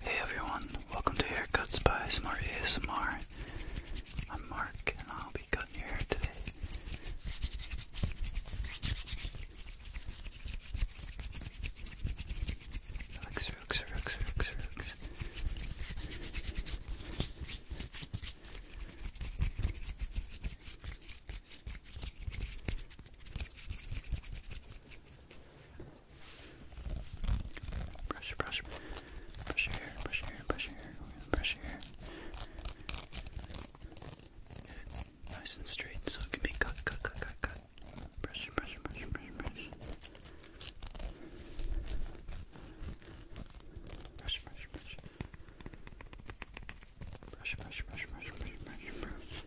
Hey everyone, welcome to Haircuts by Smart ASMR. I'm Mark and I'll be cutting your hair today. Brush, brush, brush your hair, brush your hair, brush your hair, brush your hair. Get it nice and straight so it can be cut, cut, cut, cut, cut. Brush, brush, brush, brush, brush. Brush, brush, brush. Brush, brush, brush, brush, brush, brush, brush.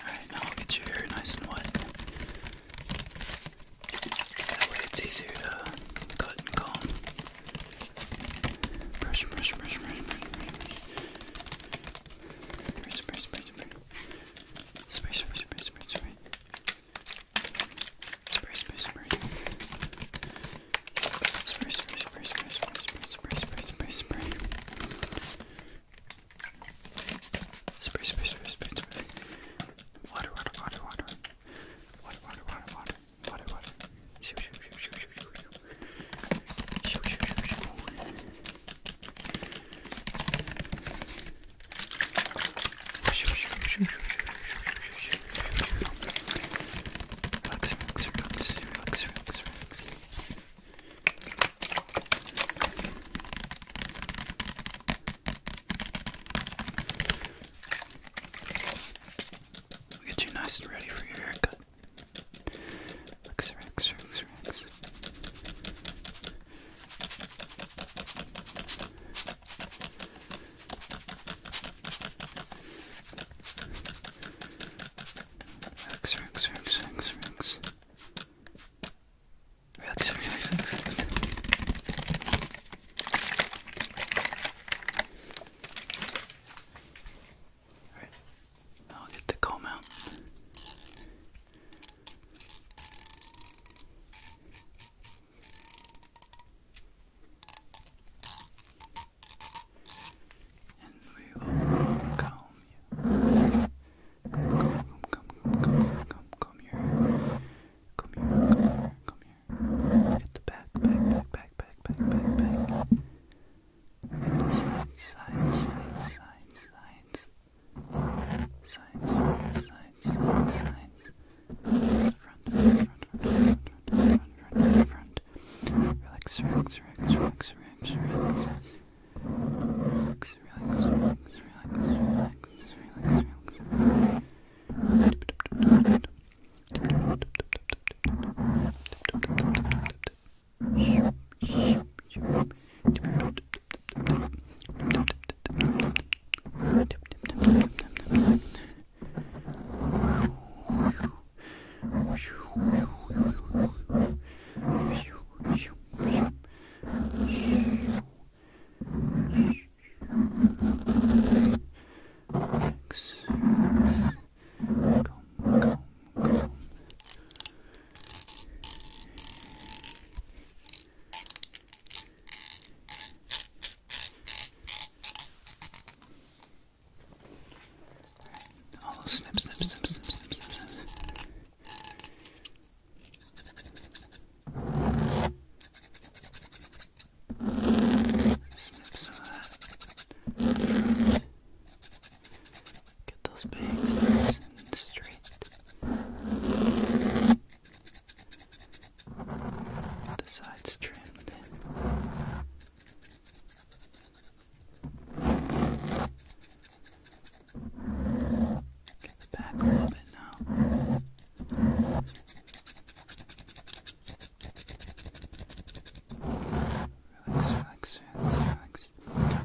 Alright, now I'll get your hair nice and wet. That way it's easier to cut and comb. Brush, brush, brush, brush, brush, brush, brush, brush, brush, brush, brush, brush, brush, brush, brush, Spray, spray, spray. Spray, spray, spray, spray, spray, spray, spray, spray, spray, spray. Spray, spray, spray, spray, spray. Water, water, water, water. Water, water, water, water. Water, water. Shoo, shoo, shoo, shoo, shoo, shoo. Shoo, shoo, shoo, shoo. Shoo, shoo, shoo, shoo, shoo, shoo, shoo, shoo, shoo, shoo, shoo. Relax, relax, relax, relax, relax. We Get you nice and ready for your haircut. Relax, relax, relax, Relax, relax, relax, relax, relax. Relax, relax, relax, relax. Alright, now I'll get the comb out and we will calm you. Come, come, come, come, come, come here. Come here, come here, come here. Hit the back, back, back, back, back, back, back, back. Hit the sides, sides, sides, sides, sides. Sides, sides, sides, sides, sides. Front, front, front, front, front, front, front, front, front good. Relax, relax, relax, relax, relax, relax. Relax, relax, relax, relax, relax, relax, relax. Relax. Come, come, come. All oh, those snip, snip, snip, snip, snip, snip, snip. Snip some that Get those bangs nice and straight. the sides trimmed. Get the back a little bit now. Relax, relax, relax, relax.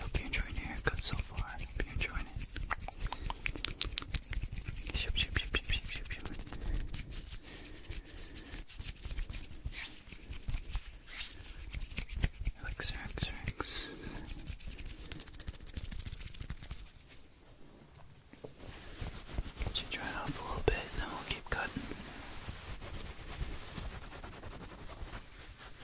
Hope you're enjoying your haircut so far. Hope you're enjoying it. Shoop, shoop, shoop, shoop, shoop, shoop, shoop. Relax, relax, relax. Should dry off a little bit, then we'll keep cutting.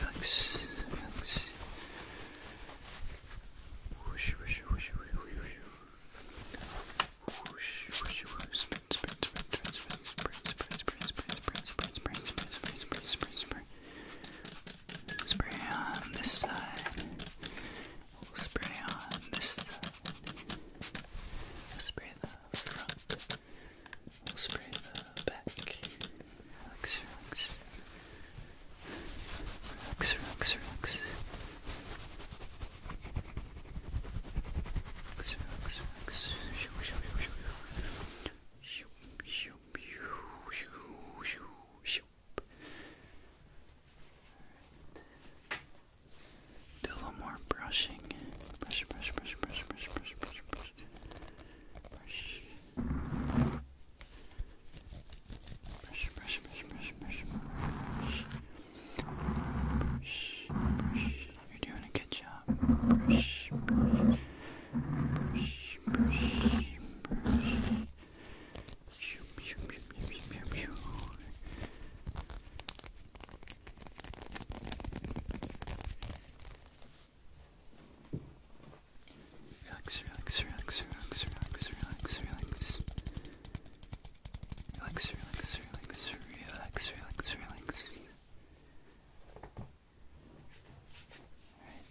Relax, relax. Whoosh, whoosh, whoosh, whoosh, whoosh. Whoosh, whoosh, whoosh. Spin, spin, spin, spin, spin, spin, spin, spin, spin, spin, spin, spin, spin, spin, spin, spin, spin. Spray on this side. We'll spray on this side. We'll spray the front. We'll spray the back. Relax, relax. Relax, relax, relax. Relax, relax, relax. Shoo, shoo, shoo, shoo. Shoo, shoo, a little more brushing. Brush, brush, brush, brush, brush, brush, brush, brush brush, brush, brush, brush, brush, brush, brush, brush, brush, brush. You're doing a good job. Brush, brush, brush, brush, brush. Shoop, shoop, shoop, shoop, shoop, shoop. Relax, relax, relax, relax, relax, relax, relax. Relax, relax, relax, relax, relax, relax. Alright.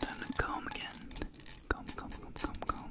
Time to comb again. Comb, comb, comb, comb, comb.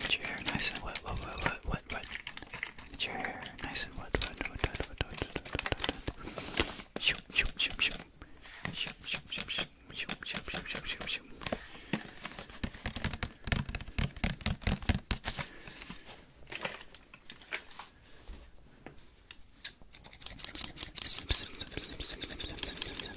Get your hair nice and wet, wet, wet, wet, wet, Get your hair nice and wet, wet, wet, wet, wet, wet, wet, wet, wet. Shoop, shoop, shoop, shoop. Shoop, shoop, shoop, shoop. Shoop, shoop, shoop, shoop, shoop, shoop. Snip, snip, snip, snip, snip, snip, snip, snip, snip.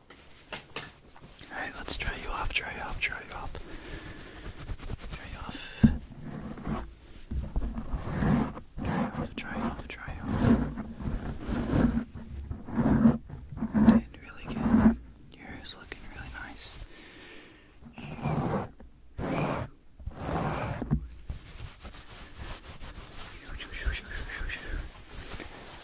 Alright, let's dry you off, dry you off, dry you off. Dry you off. Dry you off, dry you off, dry really good. Your hair's looking really nice.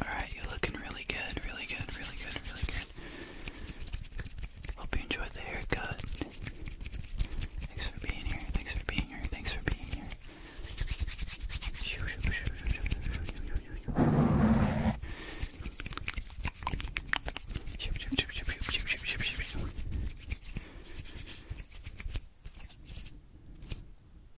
Alright, you're looking really good, really good, really good, really good. Hope you enjoyed the haircut. Thanks for being here, thanks for being here, thanks for being here.